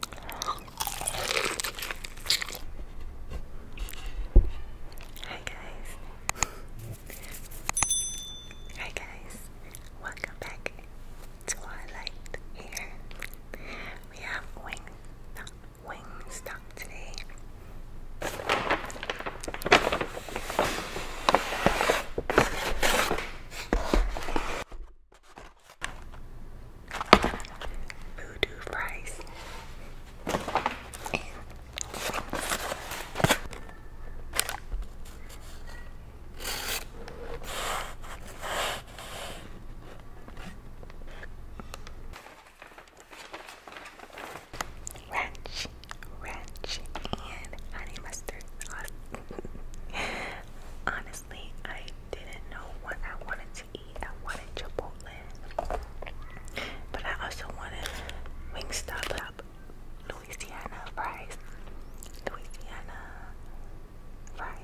Hi guys. Hi guys. Welcome back to here. We have wing wing stop today voodoo fries ranch, ranch, and honey mustard sauce I didn't know what I wanted to eat. I wanted Chipotle, but I also wanted Wingstop Louisiana fries, Louisiana fries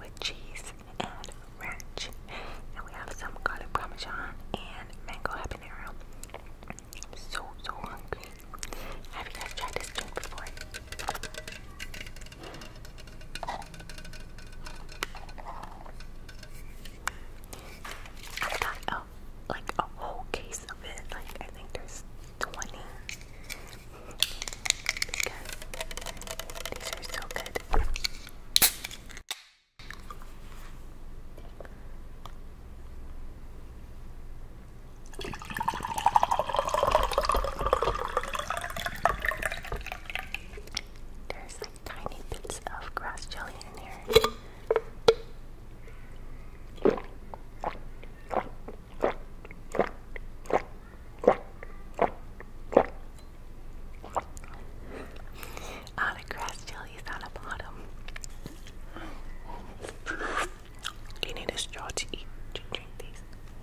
with cheese and ranch, and we have some garlic parmesan and mango habanero. I'm so so hungry. Have you guys tried this drink before? I got like a whole case of it. Like I think there's 20. these are so good. There's like tiny bits of grass jelly in here. Ah, the grass jelly is on the bottom. you need a straw to eat to drink these?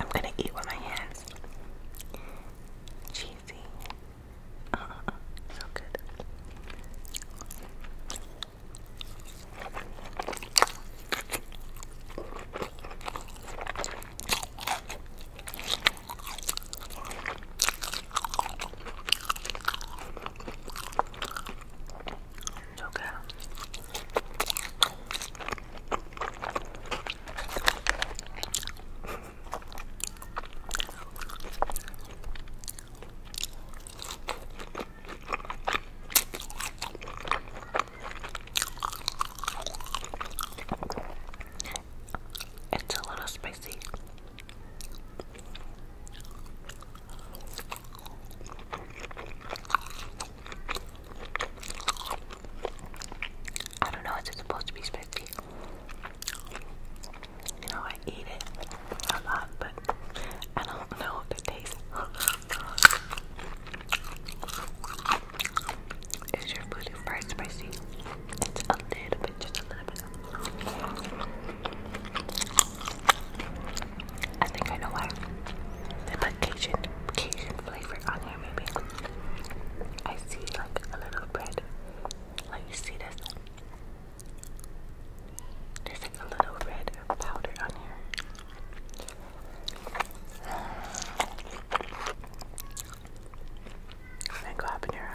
I'm gonna eat with my hands. Cheesy. so good. It's okay. It's a little spicy. I don't know, it's supposed to be spicy. You know, I eat it a lot, but I don't know the taste. Is your food fried spicy? It's a little bit, just a little bit. I think I know why. They put Cajun, Cajun flavor on there, maybe. I see like a little bread. Like you see this? There's like a little red powder on here. Mango habanero.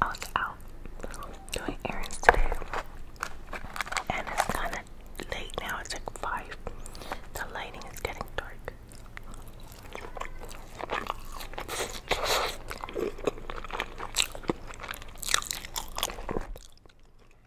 I was out doing errands today, and it's kind of late now. It's like five. The lighting is getting dark.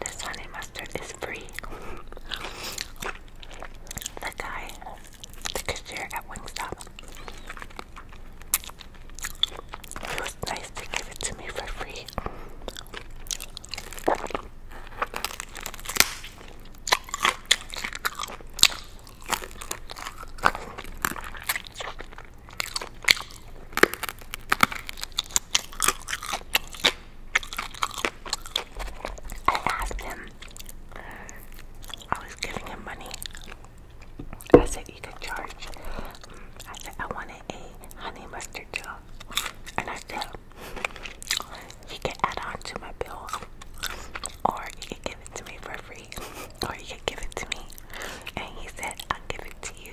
This honey mustard is free. The guy, cashier at Wingstop, it was nice to give it to me for free. I asked him. I was giving him money. I said you can charge. I said I wanted a honey mustard gel, and I said you can add on to my bill, or you can give it to me for free, or you can give it to me. And he said I'll give it to you.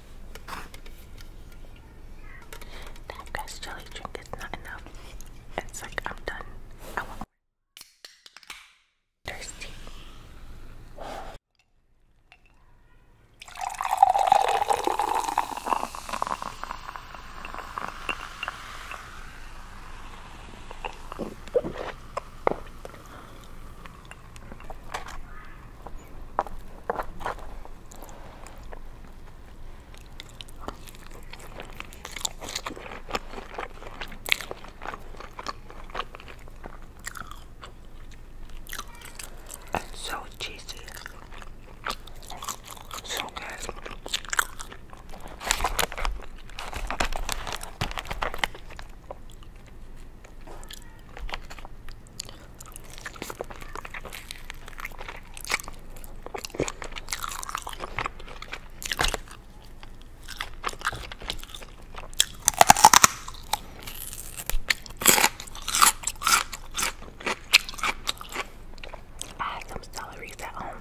That grass jelly drink is not enough. It's like I'm done. I want Thirsty so cheesy. So good. I had some celery at home.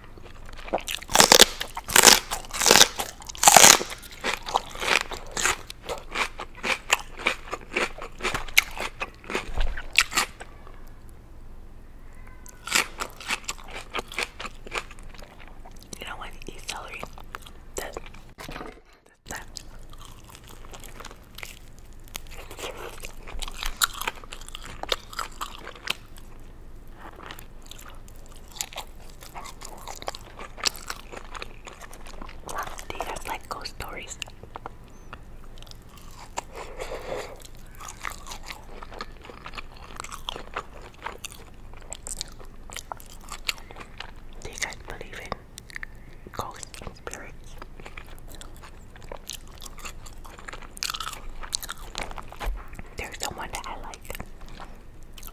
You know when you eat celery, these are like ghost stories. Do you guys believe in ghosts spirits? There's someone that I like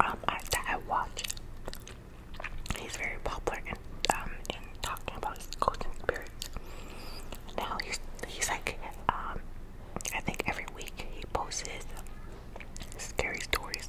um, I, I watch. He's very popular in, um, in talking about his ghosts and spirits. Now he's he's like, um, I think every week he posts his scary stories.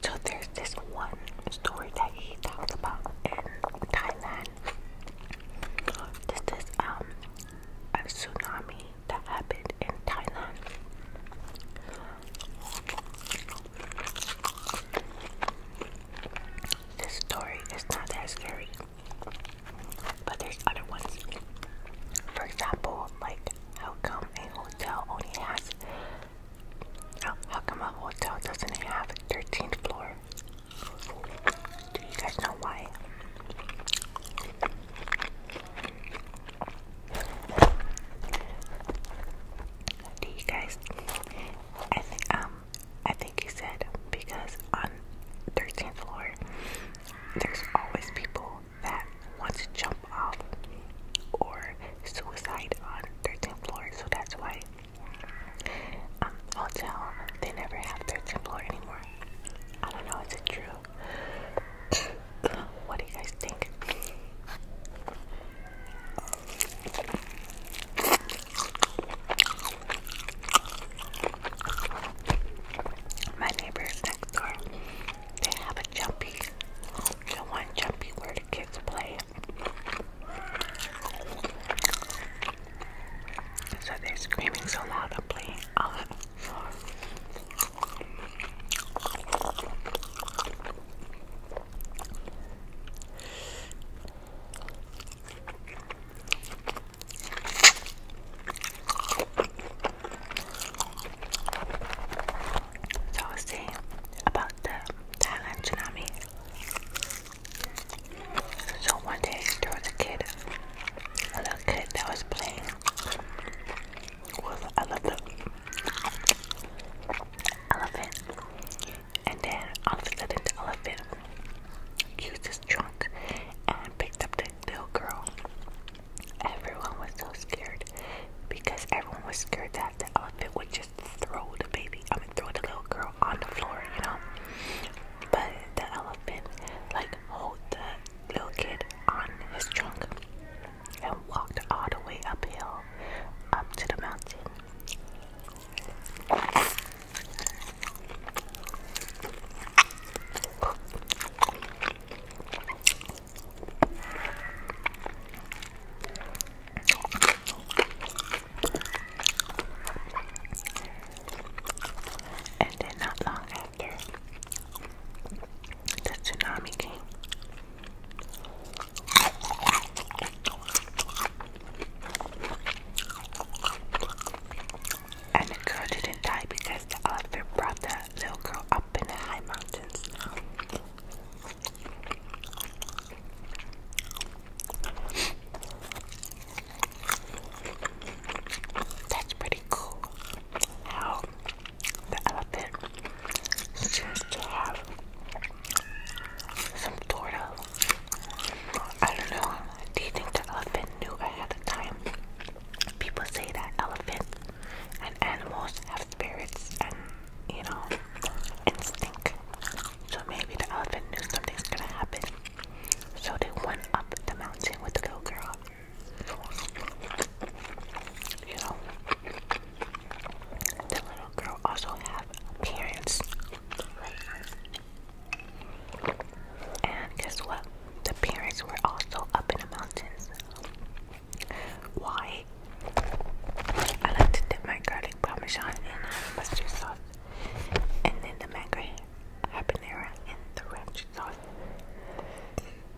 So there's this one story that he talks about in Thailand. This is um a tsunami that happened in Thailand. This story is not that scary, but there's other ones. For example, like how come a hotel only has how, come a hotel doesn't have 13th floor? Do you guys know why? Do you guys? I think um I think he said because on 13th floor there's always people that want to jump off or suicide on 13th floor, so that's why um hotel they never have 13th floor anymore. I don't know, is it true? what do you guys think? My neighbors next door, they have a jumpy, the one jumpy where the kids play. So they're screaming so loud, I'm playing all uh, so I was saying about the Thailand tsunami. So one day there was a kid a little kid that was playing with a little elephant. And then all of a sudden the elephant used his trunk and picked up the little girl. Everyone was so scared because everyone was scared that the elephant would just throw the baby, throw the little girl on the floor, you know. But the elephant like hold the little kid on his trunk and walked all the way uphill up to the mountain. And then, not long the tsunami came. And the girl didn't die because the elephant brought the little girl up in the high mountains. That's pretty cool how the elephant seems to have some sort of, I don't know, do you think the elephant knew ahead of time? People say that elephants and animals have spirits and, you know, instinct. So maybe the elephant knew something was gonna happen. So they went up the mountain with the little girl you know, the little girl also have parents. And guess what? The parents were also up in the mountains. Why? I like to dip my garlic parmesan in mustard sauce. And then the mango habanero in the ranch sauce. The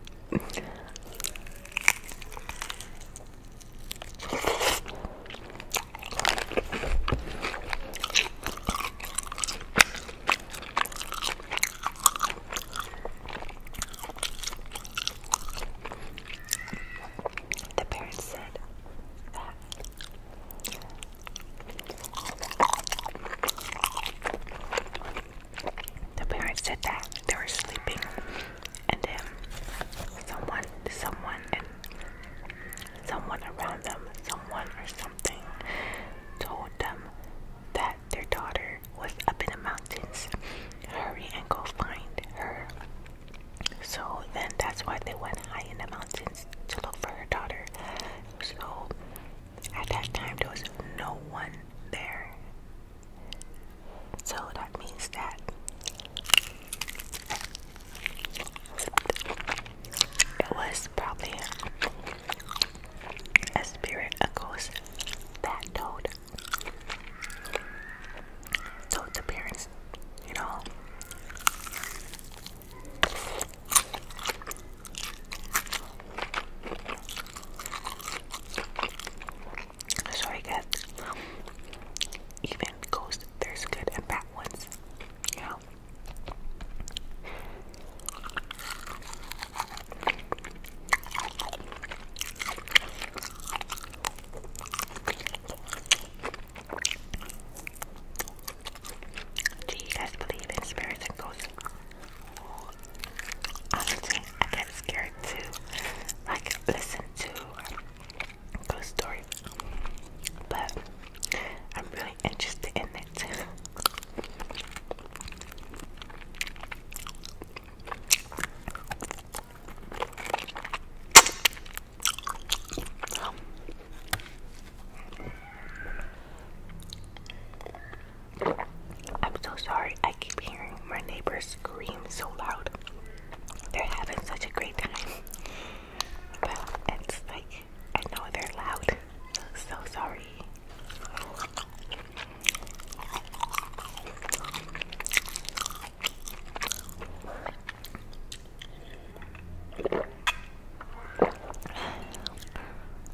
parents said that the parents said that they were sleeping, and then someone, someone, and someone around them, someone or something, told them that their daughter was up in the mountains. Hurry and go find her. So then that's why they went high in the mountains to look for her daughter. So at that time, there was no one there. So that means that it was probably a spirit, a ghost that toad. Toad's appearance, you know. I guys. Even ghost, there's good and bad ones. You Do you guys believe in spirits and ghosts? Honestly, I get scared too. Like, listen to Ghost Story. But I'm really interested in it I'm so sorry. I keep hearing my neighbors scream so loud. They're having such a great time. But it's like, I know they're loud. So sorry.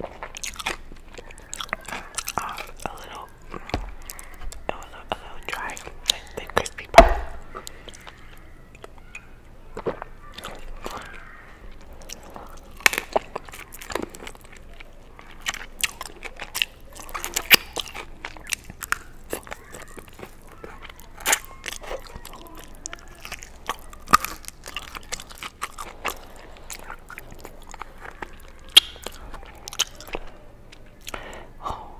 um, a little, it was a, little dry, the crispy part. Oh,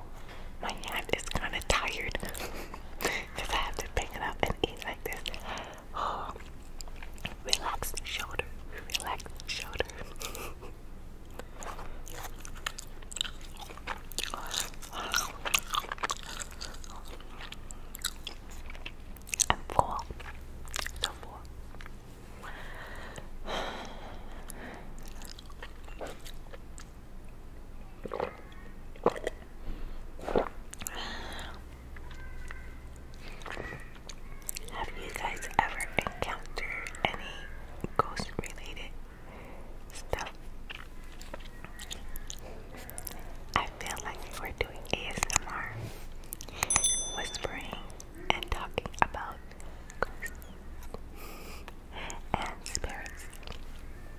my hand is kind of tired because I have to pick it up and eat like this. Oh, relax shoulder, relax shoulder. I'm full. So full. Have you guys ever encountered any ghost related stuff? I feel like we're doing ASMR whispering and talking about ghosts and spirits.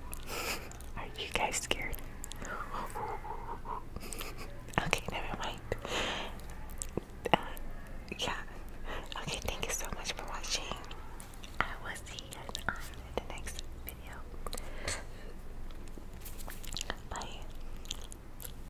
Are you guys scared? okay, never mind. Uh, yeah. Okay, thank you so much for watching. I will see you guys the next video. Bye.